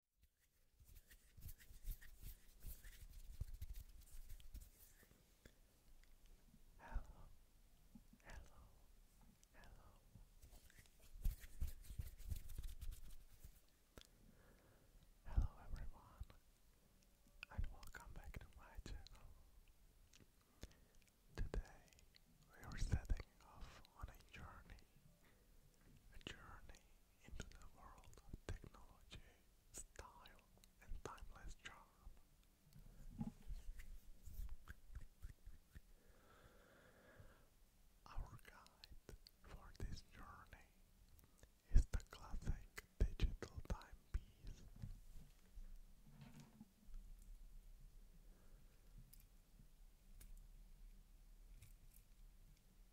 Hello, hello, hello. Hello everyone, and welcome back to my channel. Today we are setting off on a journey, a journey into the world of technology, style, and timeless charm. Our guide for this journey is the classic digital timepiece.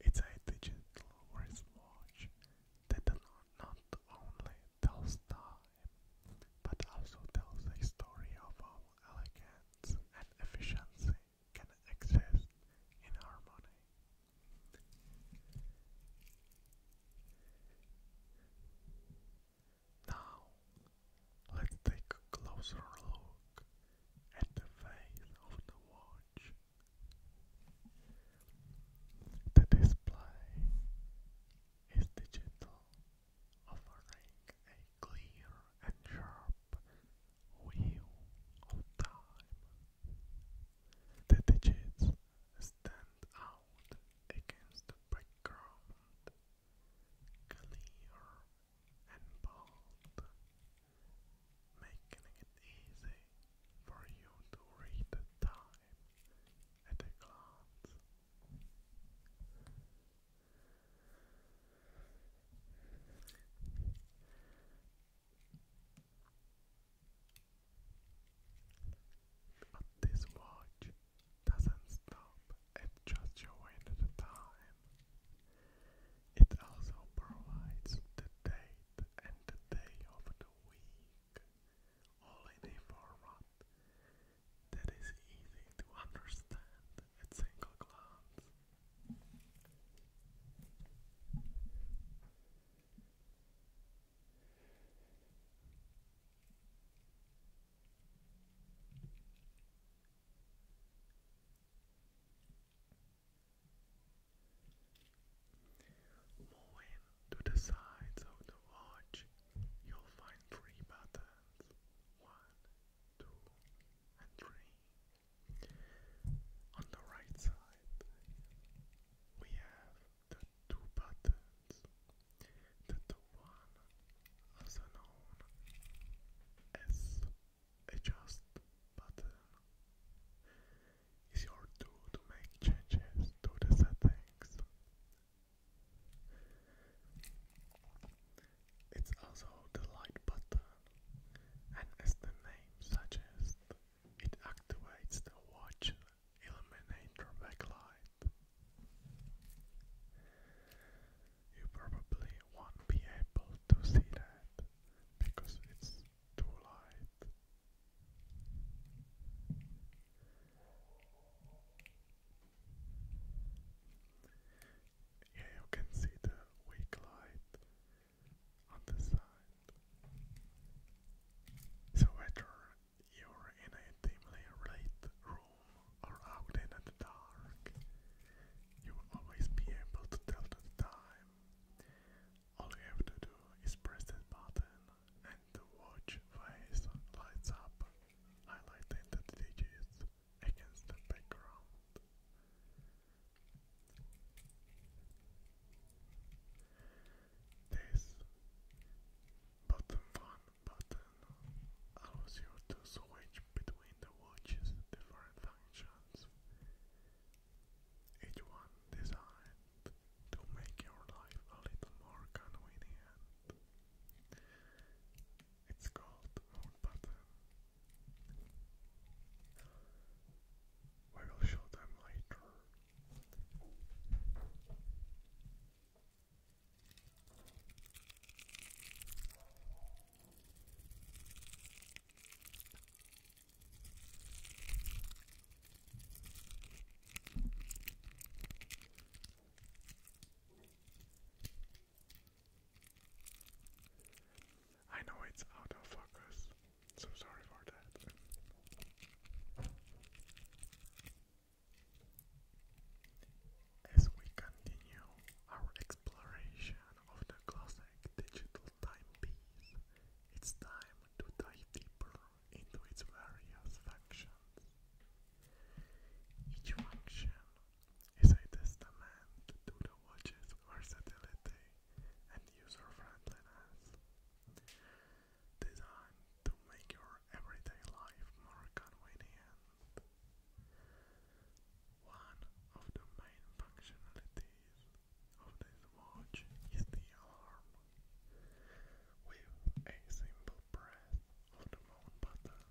It's a digital wristwatch that not only tells time, but also tells a story of how elegance and efficiency can exist in harmony. Now, let's take a closer look at the face of the watch. The display is digital, offering a clear and sharp view of time. The digits stand out against the background, clear and bold making it easy for you to read the time at a glance. this watch doesn't stop at just showing the time. It also provides the date night and the day of the week, all in a format that is easy to understand at single glance. Moving to the sides of the watch, you'll find three buttons 1, 2, and 3. On the right side, we have the two buttons that the one also known as adjust button uh, is your tool to make changes to the settings. It's also the light button, and as the name suggests, it activates the watch illuminator backlight. You probably won't be able to see that because it's to Yeah, you can see the weak light on the side. So whether you're in a dimly lit room or out in the dark, you will always be able to tell the time all you have to do is press that button and the watch face lights up, highlighting the digits against the background. This bottom one button allows you to switch between the watch's different functions, each one designed to make your life a little more convenient. It's called Mode Button. We will show them later. I know it's out of focus, so sorry for that. As we continue our exploration of the classic digital timepiece, it's time to dive deeper into its various functions. Each function is a testament to the watch's versatility and user-friendliness, designed to make your everyday life more convenient. One of the main functionalities of this watch is the alarm. With a simple press of the mount button,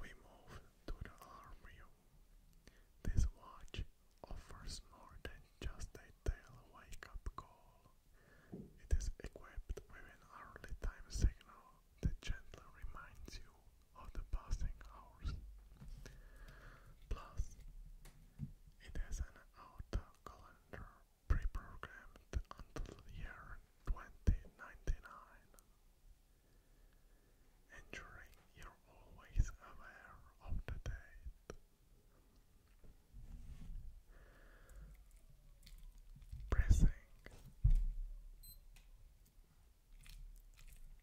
we move to the alarm view. This watch offers more than just a tail wake-up call. It is equipped with an early time signal the gentle reminds you of the passing hours. Plus, it has an auto calendar pre-programmed until the year 2099, ensuring you're always aware of the date. Pressing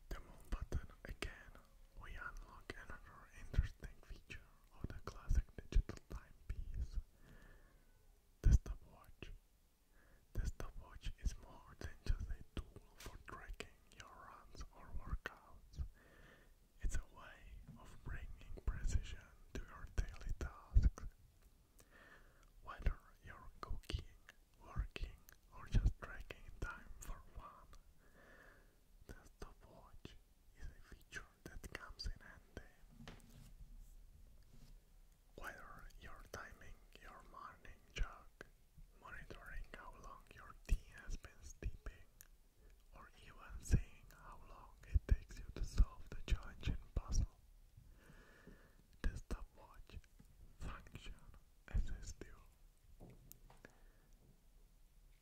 the Moon button again, we unlock another interesting feature of the classic digital timepiece, the stopwatch. The stopwatch is more than just a tool for tracking your runs or workouts. It's a way of bringing precision to your daily tasks whether you're cooking, working, or just tracking time for fun, the stopwatch is a feature that comes in handy. Whether you're timing your morning jog, monitoring how long your tea has been steeping, or even seeing how long it takes you to solve the challenging puzzle the stopwatch function exists still.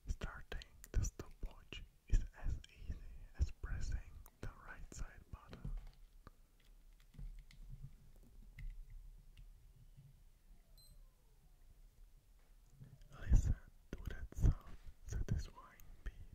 Starting the stopwatch is as easy as pressing the right side button. Listen to that sound satisfying beep.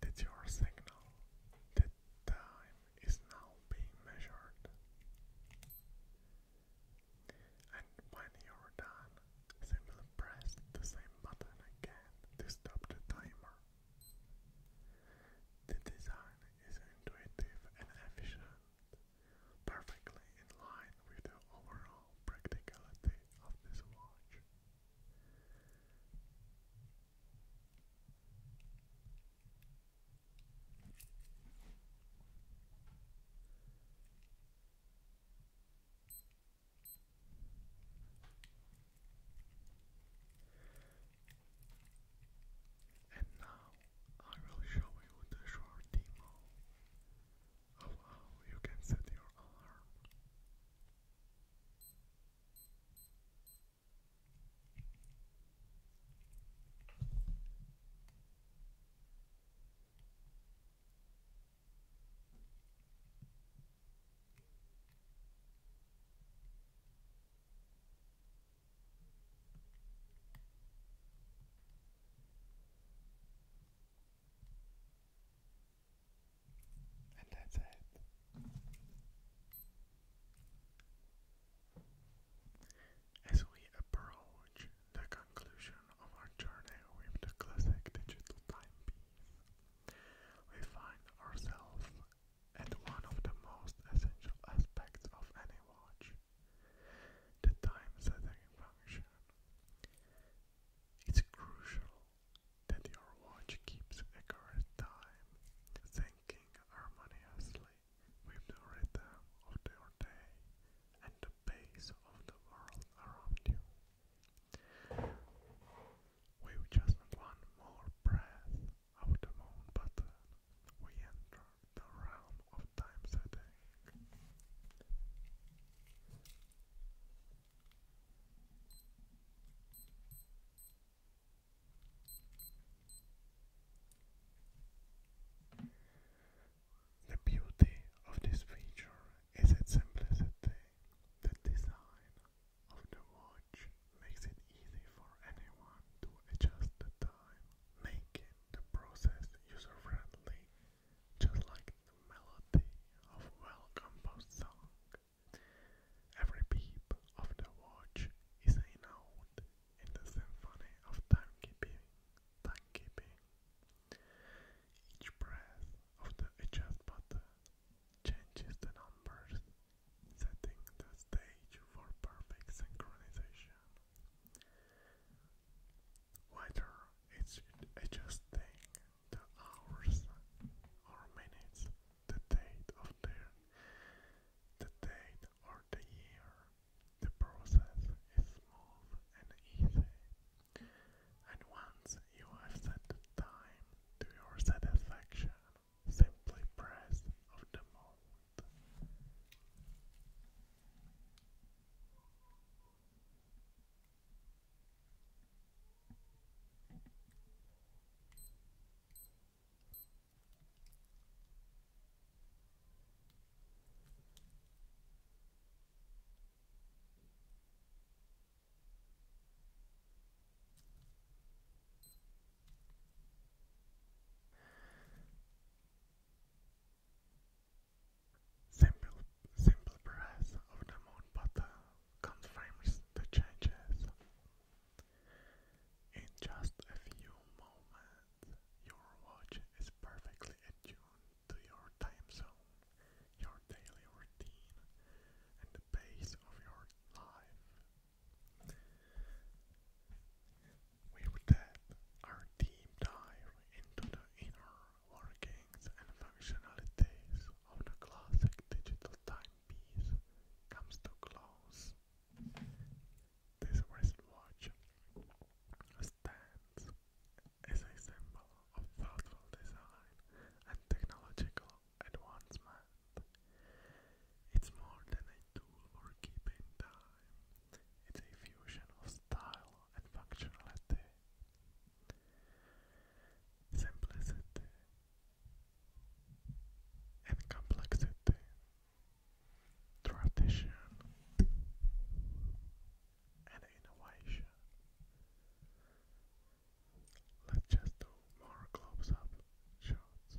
That your signal, that time is now being measured. And when you're done, simply press the same button again to stop the timer. The design is intuitive and efficient, perfectly in line with the overall practicality of this watch. And now I will show you the short demo of how you can set your alarm. And that's it. As we approach the conclusion of our journey with the classic digital timepiece, we find ourselves at one of the most essential aspects of any watch the time setting function. It's crucial that your watch keeps accurate time, syncing harmoniously with the rhythm of your day and the pace of the world around you. With just one more breath of the moon button, we enter the realm of time setting. The beauty of this feature is its simplicity. The design of the watch makes it easy for anyone to adjust the time, making the process user-friendly, just like the melody of a well-composed song. Every beep of the watch is a note in the symphony of timekeeping. timekeeping. Each breath of the adjust changes the numbers, setting the stage for perfect synchronization. Whether it's adjusting the hours or minutes, the date of their the date or the year, the process is smooth and easy, and once you have set the time to your satisfaction, simply press of the mode. Simple, simple press of the moon button uh, confirms the changes. In just a few moments, your watch is perfectly attuned to your time zone, your daily routine, and the pace of your life. With that, our team dive into the inner workings and functionalities of the classic digital timepiece comes to close. This wristwatch stands as a symbol of thoughtful design and technological advancement. It's more than a tool for keeping time, it's a fusion of style and functionality. Simplicity and complexity tradition and innovation. Let's just do more close up shots.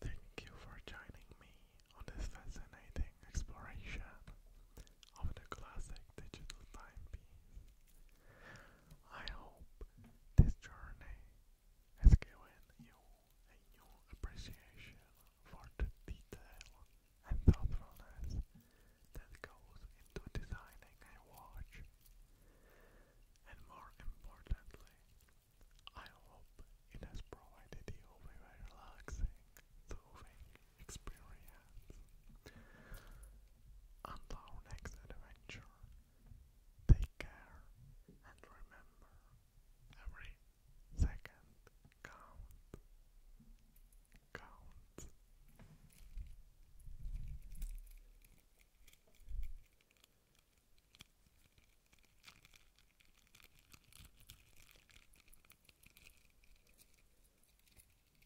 Thank you for joining me on this fascinating exploration of the classic digital timepiece. I hope this journey has given you a new appreciation for the detail and thoughtfulness that goes into designing a watch. And more importantly, I hope it has provided you with a relaxing, soothing experience. Until our next adventure, Take care and remember every second count. Count.